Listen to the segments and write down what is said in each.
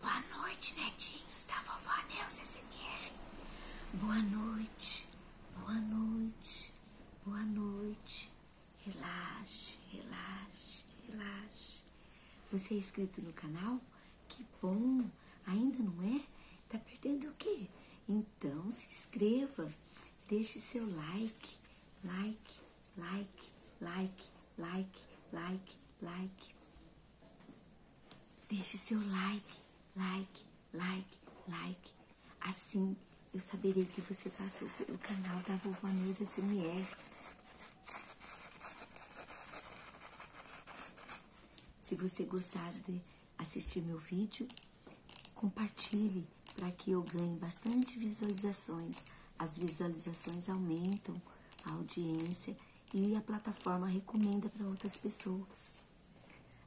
Boa noite, netinhos da vovó Neuza SMR. Boa noite, boa noite, boa noite. Relaxe, relaxe, relaxe. Você é inscrito no canal? Que bom! Ainda não é? Tá perdendo o quê? Então se inscreva, deixe seu like, like, like, like like, like, like. Deixe seu like, like, like, like. Assim eu saberei que você passou tá pelo canal da Vovó Neuza SMR. Se você gostar de assistir meu vídeo, compartilhe para que eu ganhe bastante visualizações. As visualizações aumentam a audiência e a plataforma recomenda para outras pessoas.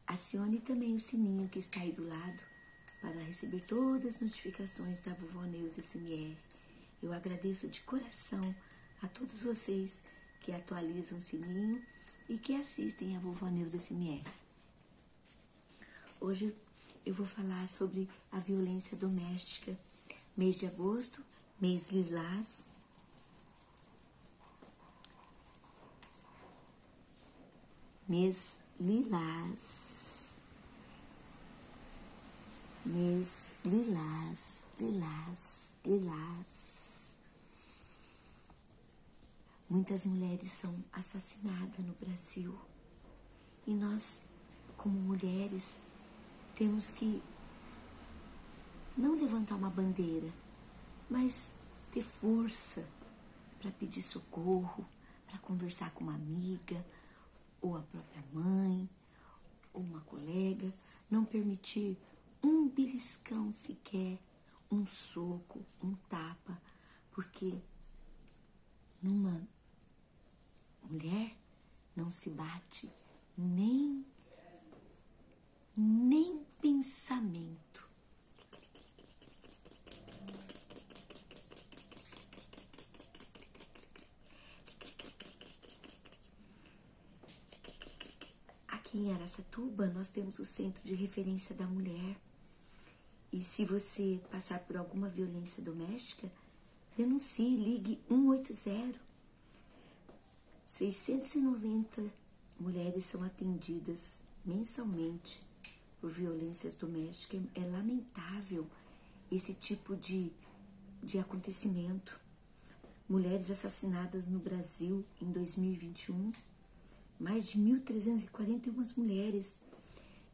Acione também o sininho que está aí do lado para receber todas as notificações da Vovó Neus SMR. Eu agradeço de coração a todos vocês que atualizam o sininho e que assistem a Vovó Neus SMR. Hoje eu vou falar sobre a violência doméstica. Mês de agosto mês lilás. Mês lilás. Mês lilás, lilás, lilás. Muitas mulheres são assassinadas no Brasil e nós como mulheres, temos que não levantar uma bandeira, mas ter força para pedir socorro, para conversar com uma amiga, ou a própria mãe, ou uma colega, não permitir um beliscão sequer, um soco, um tapa, porque numa mulher não se bate nem nem pensamento. Aqui em Aracatuba nós temos o Centro de Referência da Mulher. E se você passar por alguma violência doméstica, denuncie, ligue 180 690 mulheres são atendidas mensalmente por violências domésticas. É lamentável esse tipo de, de acontecimento. Mulheres assassinadas no Brasil em 2021, mais de 1.341 mulheres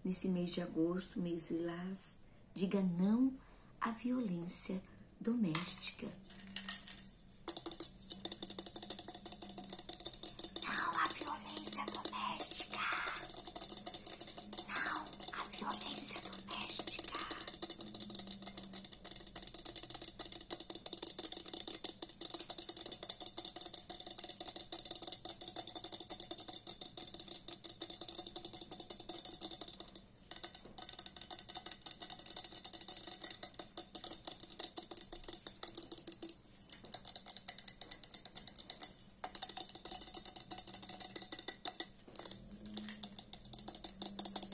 nesse mês de agosto, mês lilás. Diga não à violência doméstica. Não a violência doméstica. Não a violência doméstica.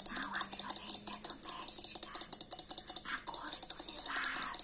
Não a violência doméstica. Agosto lilás.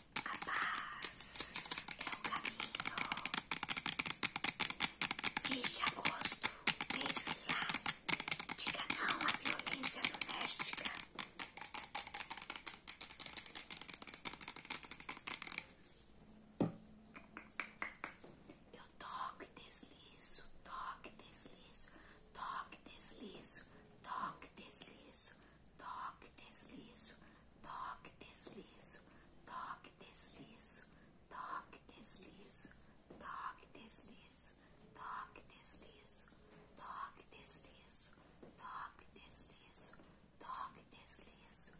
A paz é o caminho. Mês de agosto, mês lilás. Diga não à violência doméstica. Eu toco e deslizo, toque e deslizo, toque e deslizo, toque e deslizo, toque e deslizo toque, deslizo, toque, deslizo, toque, deslizo, toque, deslizo, toque, deslizo, toque, deslizo, toque, deslizo, toque, deslizo,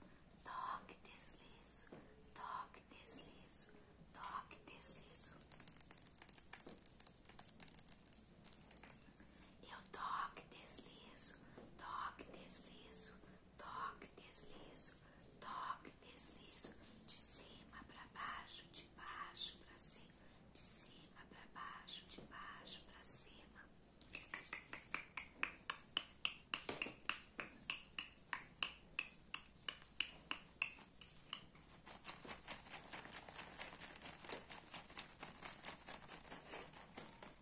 toque, deslizo, toque, deslizo, toque, deslizo. Eu toque, deslizo, toque, deslizo, toque, deslizo, toque, deslizo, de cima para baixo, de baixo para cima, de cima para baixo, de baixo para cima.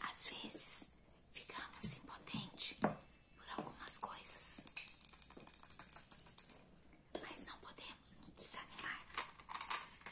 Às vezes ficamos impotentes por algumas coisas, mas não podemos nos desanimar.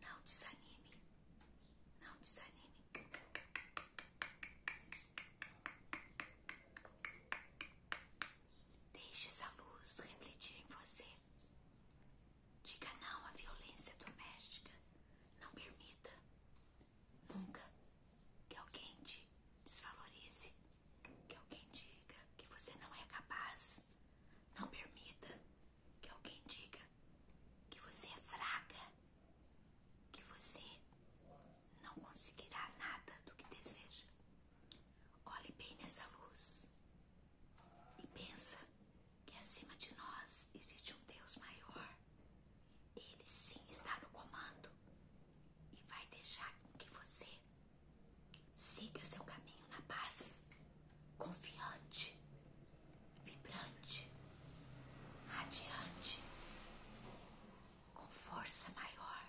Não desanime. Não desanime. Deixe essa luz refletir em você. Diga não à violência doméstica. Não permita nunca que alguém te desvalorize, que alguém diga que você não é capaz, não permita que alguém diga que você é fraca, que você não conseguirá nada do que deseja. Olhe bem nessa luz e pensa que acima de nós existe um Deus maior. Ele sim está no comando e vai deixar que você Siga seu caminho na paz, confiante, vibrante, radiante, com força maior,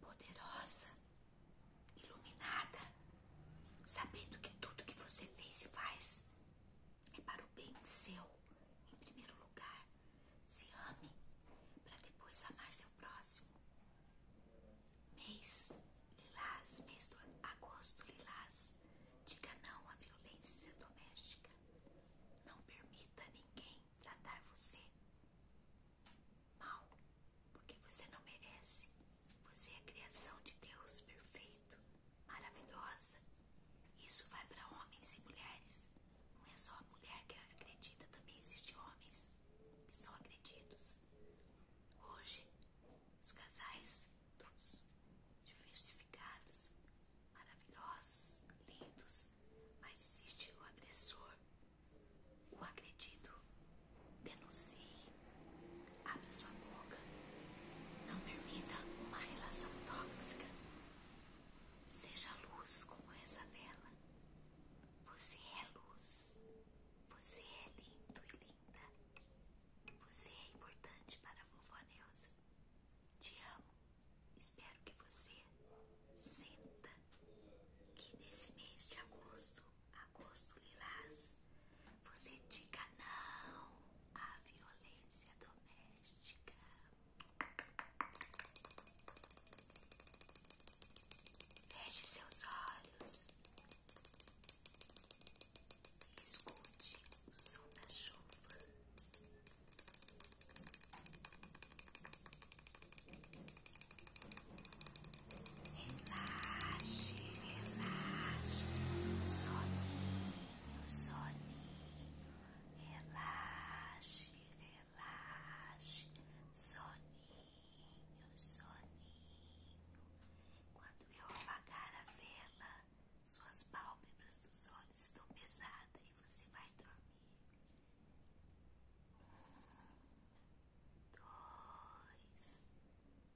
poderosa, iluminada, sabendo que tudo que você fez e faz é para o bem seu, em primeiro lugar. Se ame para depois amar seu próximo mês lilás, mês de agosto lilás, diga não à violência doméstica. Não permita ninguém tratar você mal, porque você não merece. Você é a criação de Deus perfeito, maravilhosa. Isso vai para homens e mulheres. Não é só a mulher que acredita, também existem homens que são agredidos. Hoje, os casais todos diversificados, maravilhosos, lindos, mas existe o agressor, o agredido. Denuncie, abre sua boca, não permita uma relação tóxica. Seja luz como essa vela. Você é luz. Você é lindo e linda. Você é importante para a vovó Neuza. Te amo. Espero que você sinta que nesse mês de agosto, agosto lilás, você diga não à violência doméstica. Feche seus olhos e escute o som da chuva. Relaxe, relaxe, soninho, soninho, relaxe, relaxe, soninho soninho, soninho. Quando eu apagar a vela, suas pálpebras dos olhos estão pesadas e você vai dormir. Um, dois,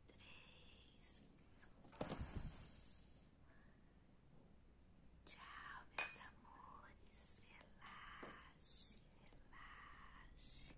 três. Tchau, meus amores. Relaxe, relaxe.